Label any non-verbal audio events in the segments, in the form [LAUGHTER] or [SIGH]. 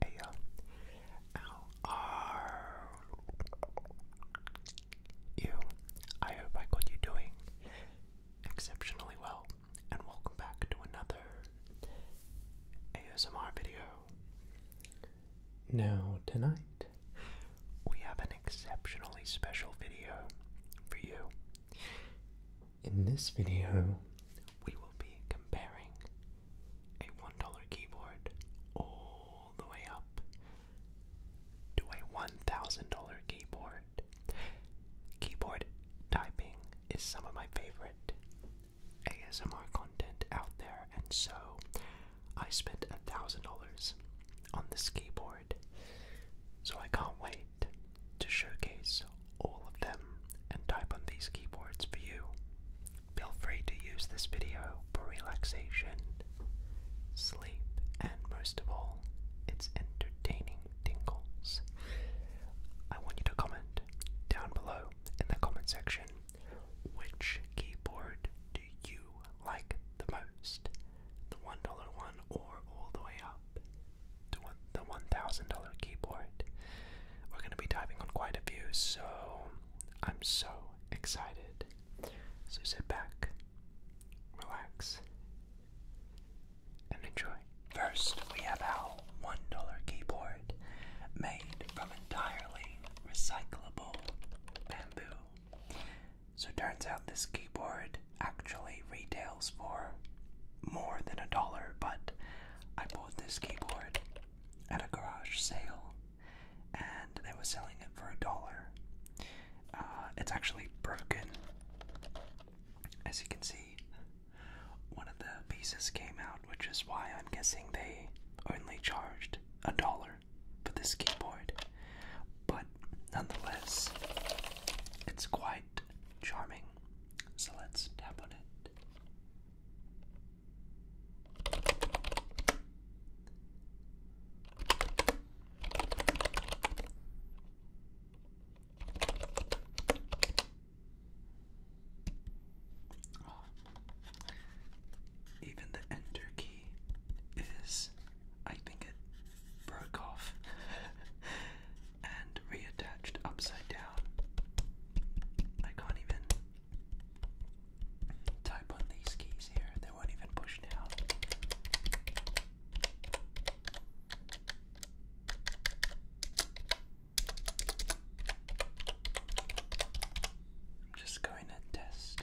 Hey, hope I got you doing exceptionally well, and welcome back to another ASMR video. Now, tonight, we have an exceptionally special video for you. In this video, we will be comparing a $1 keyboard all the way up to a $1,000 keyboard. Keyboard typing is some of my favorite ASMR content out there, and so I spent a thousand dollars on this keyboard. So I can't wait to showcase all of them and type on these keyboards for you. Feel free to use this video for relaxation, sleep, and most of all, it's entertaining tingles. I want you to comment down below in the comment section which keyboard do you like the most? The $1 one or all the way up to the $1,000 keyboard? We're going to be diving on quite a few, so I'm so excited. So sit back, relax, and enjoy. First, we have our $1 keyboard made from entirely recyclable bamboo. So turns out this keyboard actually retails for more than a dollar, but I bought this keyboard at a garage sale and they were selling it for a dollar. Uh, it's actually broken. As you can see, one of the pieces came out which is why I'm guessing they only charged a dollar for this keyboard. But nonetheless, it's quite charming. So let's tap on it. Even the enter key is, I think it broke off [LAUGHS] and reattached upside down. I can't even type on these keys here, they won't even push down. I'm just going to test.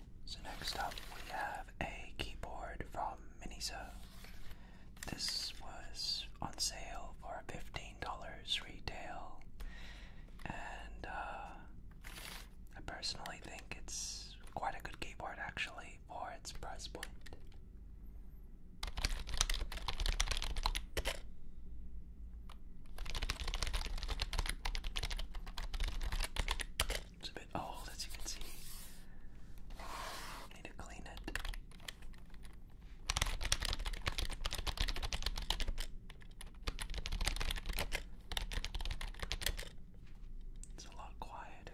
So next up we have a keyboard from Miniso. This was on sale for $15 retail and uh, I personally think it's quite a good keyboard actually for its price point. It's a bit old, as you can see. Need to clean it. It's a lot quieter.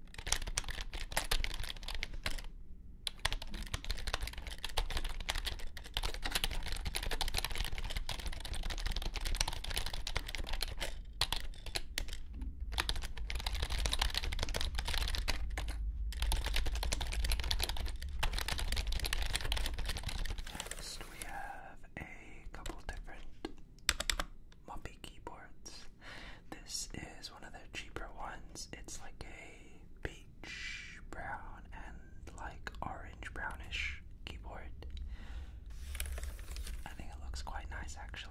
Next, we have a couple different Muppy keyboards. This is one of the cheaper ones. It's like a peach brown and like orange brownish keyboard. I think it looks quite nice actually.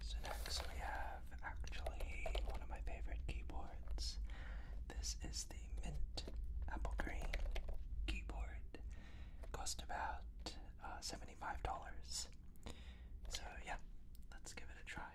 So next we have actually one of my favorite keyboards. This is the mint apple green keyboard. Cost about uh, $75. So yeah, let's give it a try.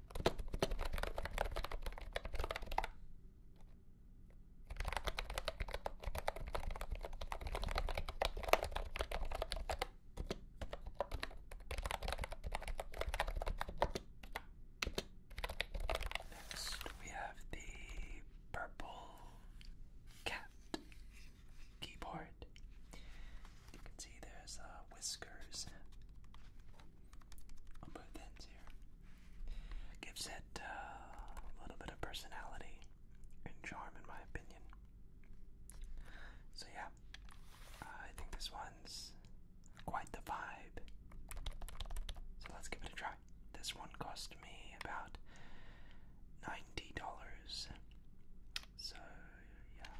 Next, we have the purple cat keyboard. You can see there's uh, whiskers on both ends here. Gives it uh, a little bit of personality and charm, in my opinion. So, yeah, I think this one's quite the vibe. So, let's give it a try. This one cost me about $90. So, yeah,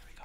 here we go.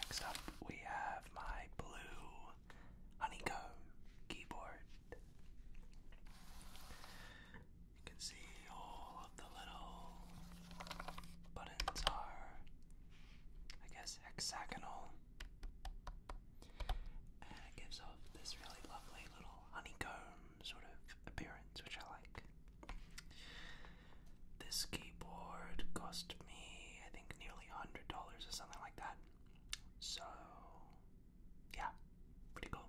Next up, we have my blue honeycomb keyboard. You can see all of the little buttons are, I guess, hexagonal. And it gives off this really lovely little honeycomb sort of appearance, which I like. This keyboard cost me, I think, nearly $100 or something like that. So, yeah, pretty cool.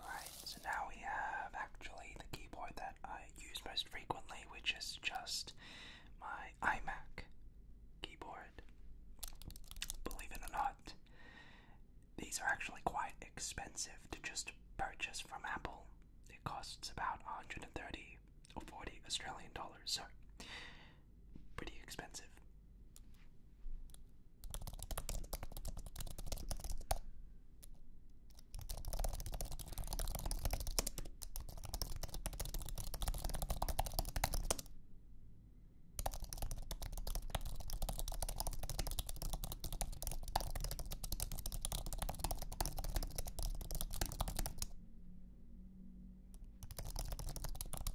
Alright, so now we have actually the keyboard that I use most frequently, which is just my iMac keyboard. Believe it or not, these are actually quite expensive to just purchase from Apple. It costs about 130 or 40 Australian dollars. So pretty expensive.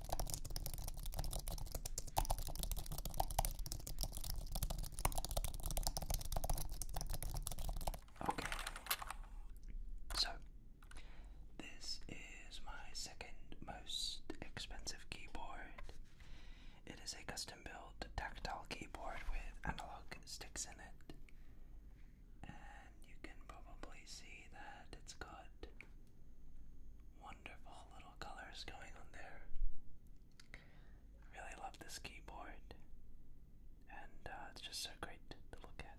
Okay, so this is my second most expensive keyboard. It is a custom built tactile keyboard with analog sticks in it. And you can probably see that it's got one wonderful little colors going on there. I really love this keyboard, and uh, it's just so great to look at.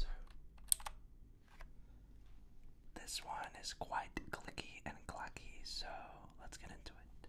So, this one is quite clicky and clacky, so let's get into it.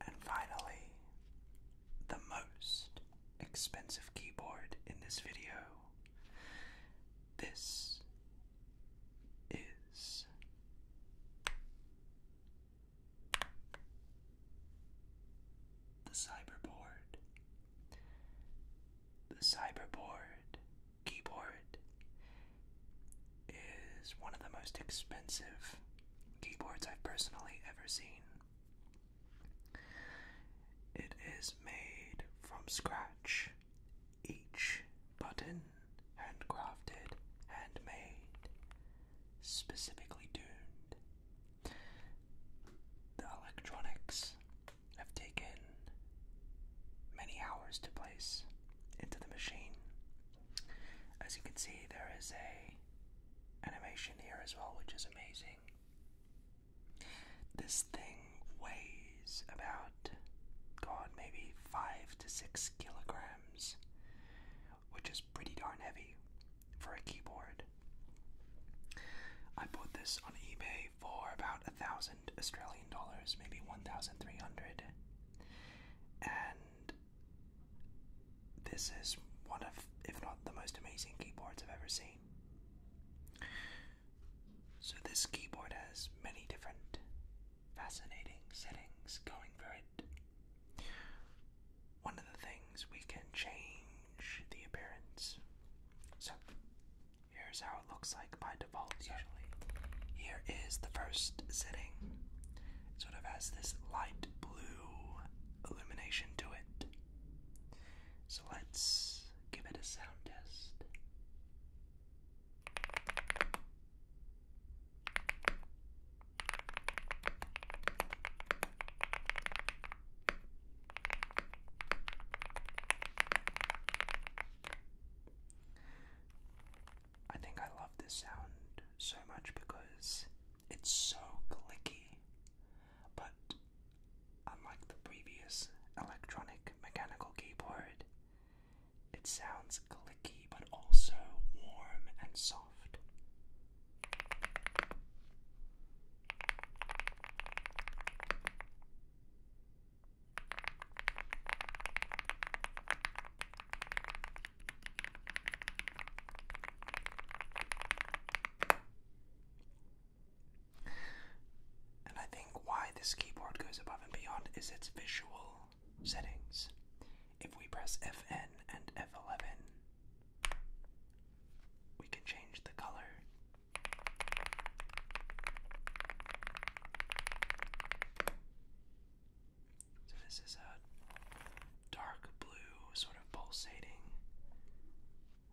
And finally, the most expensive keyboard in this video. This is the Cyberboard. The Cyberboard keyboard is one of the most expensive keyboards I've personally ever seen. It is made from scratch. Each button handcrafted, handmade, specifically tuned. The electronics have taken many hours to place into the machine. As you can see, there is a animation here as well, which is amazing. This thing weighs about, God, maybe five to six kilograms, which is pretty darn heavy for a keyboard. I bought this on eBay for about a thousand Australian dollars, maybe 1,300. And this is one of, if not the most amazing keyboards I've ever seen. So, this keyboard has many different fascinating settings going for it. One of the things we can change the appearance. So, here's how it looks like by default, usually. Here is the first setting. It sort of has this light blue illumination to it. So let's give it a sound test. I think I love this sound so much because it's so clicky, but Unlike the previous electronic mechanical keyboard, it sounds clicky but also warm and soft. And I think why this keyboard goes above and beyond is its visual settings. If we press Fn and F11, we can change the color. So, this is a dark blue, sort of pulsating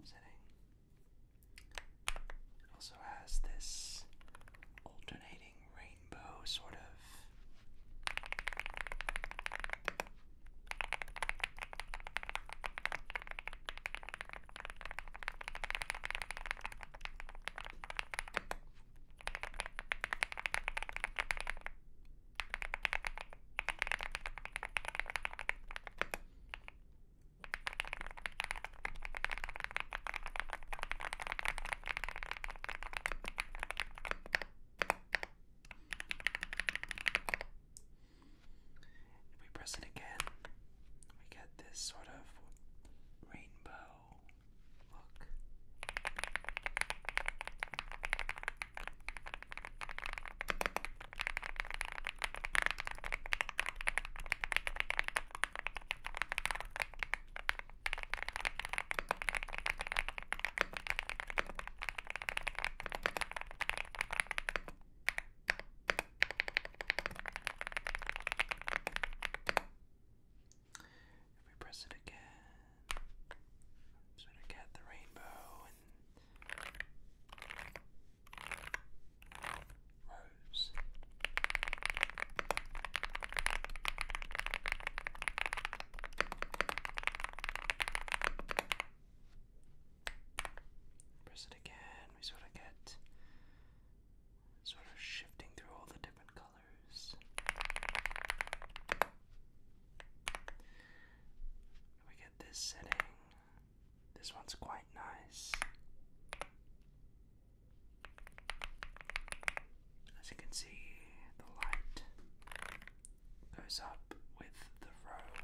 setting. It also has this alternating rainbow sort of if we press it again, we get this sort of rainbow look. If we press it again, sort of get the rainbow and Rose. Press it again. We sort of get sort of shifting through all the different colors. We get this setting. This one's quite nice. As you can see, the light goes up with the row.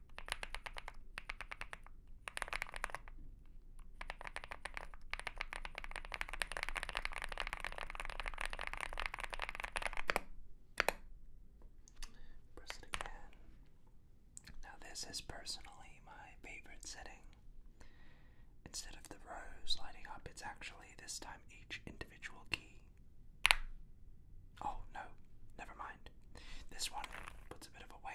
Press it again. Now, this is personally my favorite setting. Instead of the rows lighting up, it's actually this time each individual key Oh no, never mind. This one puts a bit of a wave.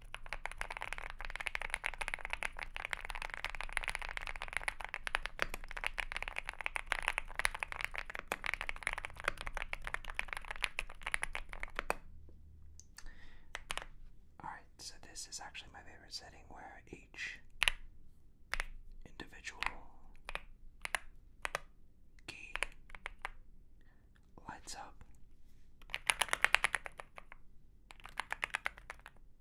Alright, so this is actually my favorite setting where each individual key lights up.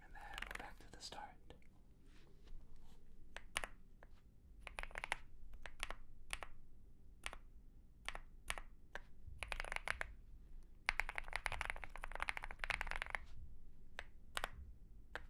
And then we're back to the start.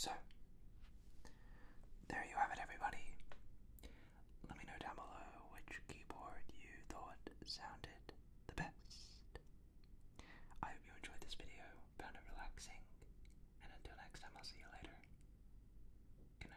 So, there you have it, everybody. Let me know down below which keyboard you thought sounded the best. I hope you enjoyed this video, found it relaxing, and until next time, I'll see you later. Good